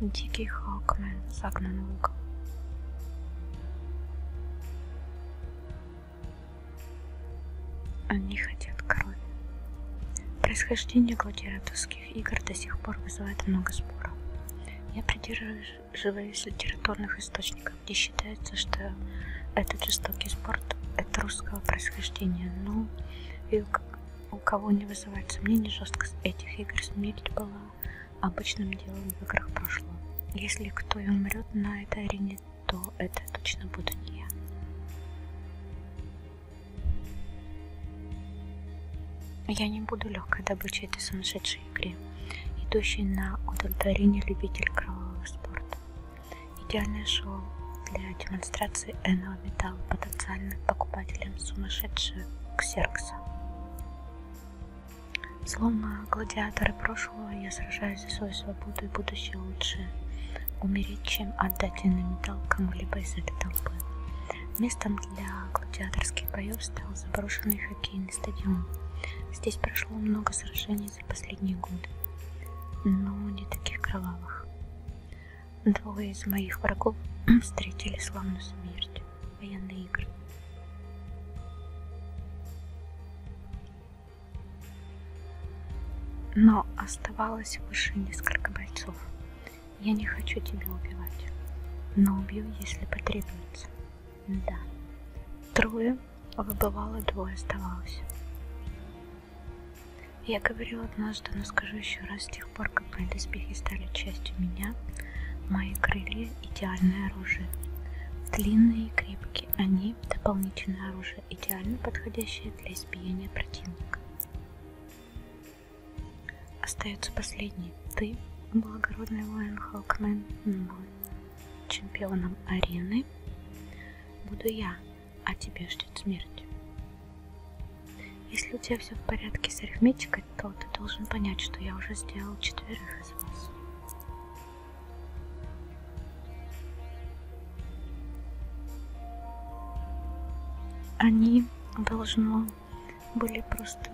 Дикий Хокмен загнан в угол. Они хотят крови. Происхождение гладиаторских игр до сих пор вызывает много споров. Я придерживаюсь живые из литературных источников, где считается, что этот жестокий спорт это русского происхождения. Ну, и у кого не вызывает сомнений, жесткость этих игр смерть была обычным делом в играх прошлого. Если кто и умрет на этой арене, то это точно буду не я. Я не буду легкой добычей этой сумасшедшей нашей игре, идущей на удовлетворение любителей кровавого спорта. Идеальное шоу для демонстрации энного металла потенциальным покупателям сумасшедшего ксеркса. Словно гладиаторы прошлого, я сражаюсь за свою свободу и будущее лучшее. Умереть, чем отдать иным металл кому-либо из этой толпы. Местом для гладиаторских боев стал заброшенный хоккейный футбольный стадион. Здесь прошло много сражений за последние годы, но не таких кровавых. Двое из моих врагов встретили славную смерть военные игры. Но оставалось выше несколько бойцов, я не хочу тебя убивать, но убью, если потребуется. Да. Трое а выбывало, двое оставалось. Я говорила однажды, но скажу еще раз, с тех пор, как мои доспехи стали частью меня, мои крылья – идеальное оружие. Длинные и крепкие, они – дополнительное оружие, идеально подходящее для избиения противника. Остается последний. Ты, благородный воин Халкмен, был чемпионом арены. Буду я, а тебя ждет смерть. Если у тебя все в порядке с арифметикой, то ты должен понять, что я уже сделал четверых из вас. Они должно были просто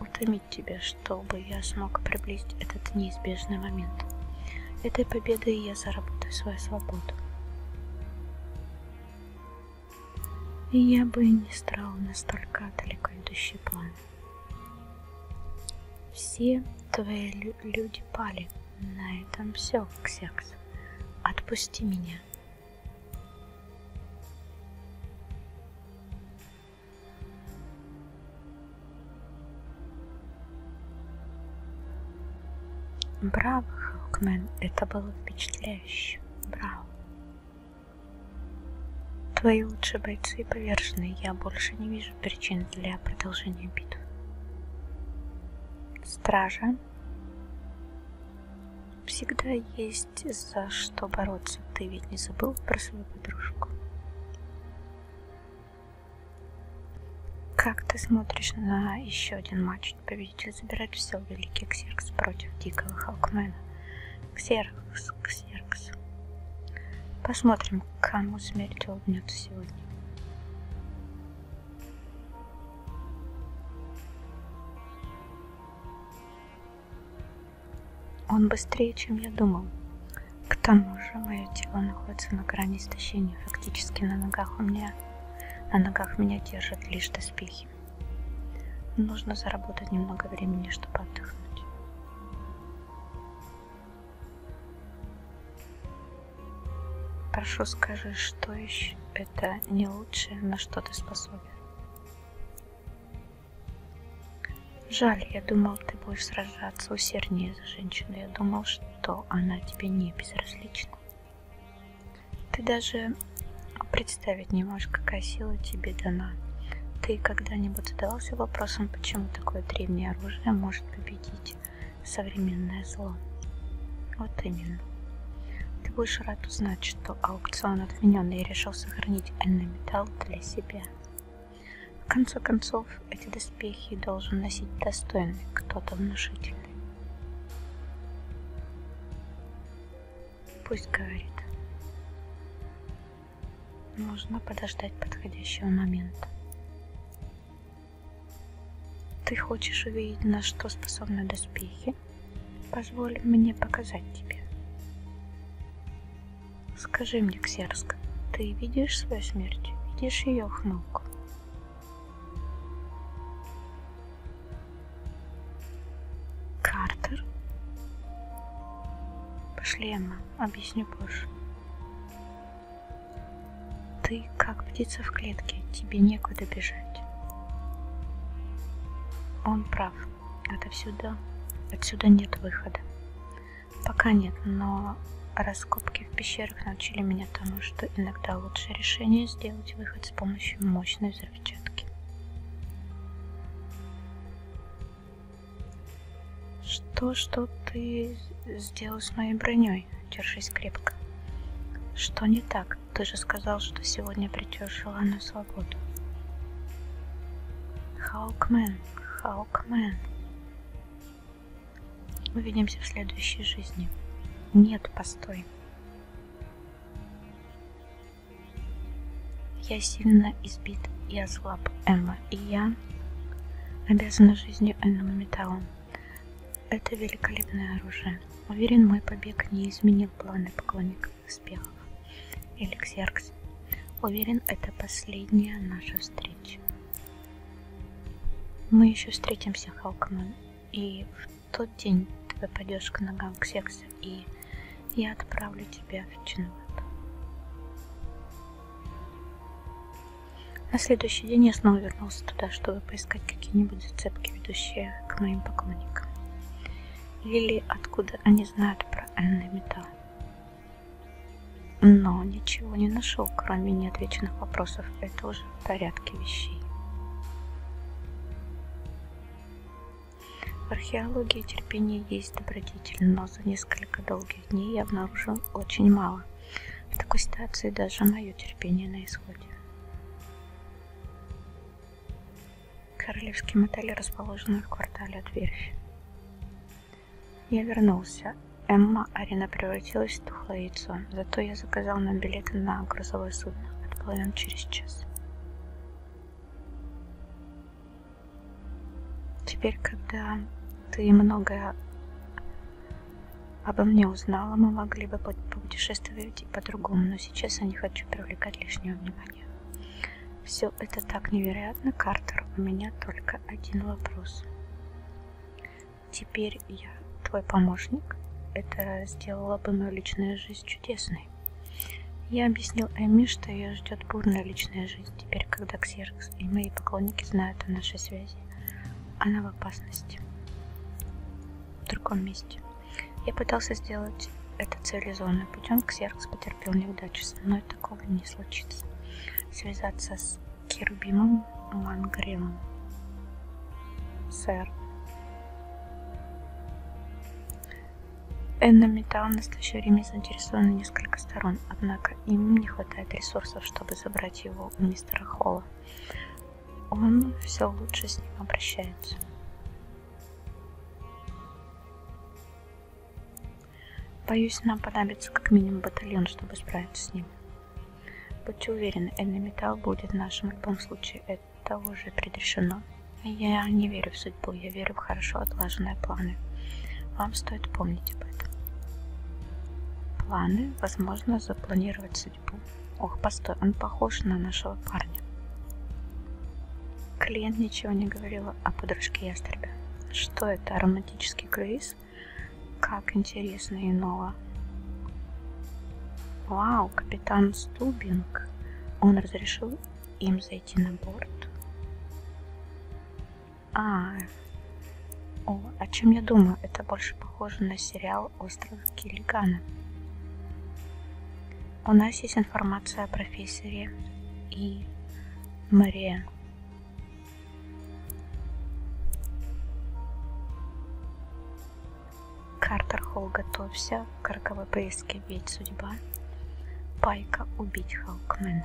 утомить тебя, чтобы я смог приблизить этот неизбежный момент. Этой победой я заработаю свою свободу. И я бы не стала настолько далеко идущие планы. Все твои лю люди пали. На этом все, Ксякс. Отпусти меня. Браво, Хокмен, это было впечатляюще. Браво. Твои лучшие бойцы повержены, я больше не вижу причин для продолжения битвы. Стража. Всегда есть за что бороться. Ты ведь не забыл про свою подружку? Как ты смотришь на еще один матч? Победитель забирает все Великий Ксеркс против Дикого Халкмена. Ксеркс, Ксеркс. Посмотрим, кому смерть улыбнется сегодня. Он быстрее, чем я думал. К тому же, мое тело находится на грани истощения. Фактически на ногах у меня, на ногах меня держат лишь доспехи. Нужно заработать немного времени, чтобы отдохнуть. Прошу, скажи, что еще это не лучшее, на что ты способен. Жаль, я думал, ты будешь сражаться усерднее за женщину. Я думал, что она тебе не безразлична. Ты даже представить не можешь, какая сила тебе дана. Ты когда-нибудь задавался вопросом, почему такое древнее оружие может победить современное зло. Вот именно. Ты будешь рад узнать, что аукцион отменен, и я решил сохранить энный металл для себя. В конце концов, эти доспехи должен носить достойный, кто-то внушительный. Пусть говорит. Нужно подождать подходящего момента. Ты хочешь увидеть, на что способны доспехи? Позволь мне показать тебе. Скажи мне, Ксерск, ты видишь свою смерть? Видишь ее хнук? Картер? Пошли, Эмма, объясню позже. Ты как птица в клетке, тебе некуда бежать. Он прав. Отовсюда, отсюда нет выхода. Пока нет, но раскопки в пещерах научили меня тому, что иногда лучшее решение сделать выход с помощью мощной взрывчатки. Что, что ты сделал с моей броней? Держись крепко. Что не так? Ты же сказал, что сегодня придешь желанную свободу. Хаукмен, Хаукмен. Увидимся в следующей жизни. Нет, постой. Я сильно избит и ослаб, Эмма, и я я обязана жизнью энному металлу. Это великолепное оружие. Уверен, мой побег не изменил планы поклонников успехов. Эликсеркс. Уверен, это последняя наша встреча. Мы еще встретимся, Халкман. И в тот день ты попадешь к ногам к сексу, и я отправлю тебя в Чинват. На следующий день я снова вернулся туда, чтобы поискать какие-нибудь зацепки, ведущие к моим поклонникам. Или откуда они знают про энный металл. Но ничего не нашел, кроме неотвеченных вопросов. Это уже в порядке вещей. В археологии терпение есть добродетель, но за несколько долгих долгих дней я обнаружил очень мало. В такой ситуации даже мое терпение на исходе. Королевский мотель расположен в квартале от верфи. Я вернулся. Эмма Арина превратилась в тухлое яйцо, зато я заказал нам билеты на грузовое судно. Отплывем через час. Теперь, когда ты многое обо мне узнала, мы могли бы путешествовать и по-другому, но сейчас я не хочу привлекать лишнее внимание. Все это так невероятно, Картер, у меня только один вопрос. Теперь я твой помощник? Это сделало бы мою личную жизнь чудесной серьезной. Я объяснил Эми, что ее ждет бурная личная жизнь теперь, когда Ксеркс и мои поклонники знают о нашей связи. Она в опасности. В другом месте. Я пытался сделать это цивилизованным путем, Ксеркс потерпел неудачу, со мной такого не случится. Связаться с Керубимом Мангримом. Сэр. Энном Металл в настоящее время заинтересованы несколько сторон, однако им не хватает ресурсов, чтобы забрать его у мистера Холла. Он все лучше с ним обращается. Боюсь, нам понадобится как минимум батальон, чтобы справиться с ним. Будьте уверены, Энна Металл будет в нашем любом случае. Это это уже предрешено. Я не верю в судьбу, я верю в хорошо отлаженные планы. Вам стоит помнить об этом. Планы, возможно, запланировать судьбу. Ох, постой, он похож на нашего парня. Клиент ничего не говорил о подружке ястребя. Что это, романтический круиз? Как интересно и ново. Вау, капитан Стубинг, он разрешил им зайти на борт. А, о, о чем я думаю, это больше похоже на сериал «Остров Киллигана». У нас есть информация о профессоре и Мария. Картер Холл, готовься к роковой поиске, ведь судьба Пайка убить Халкмена.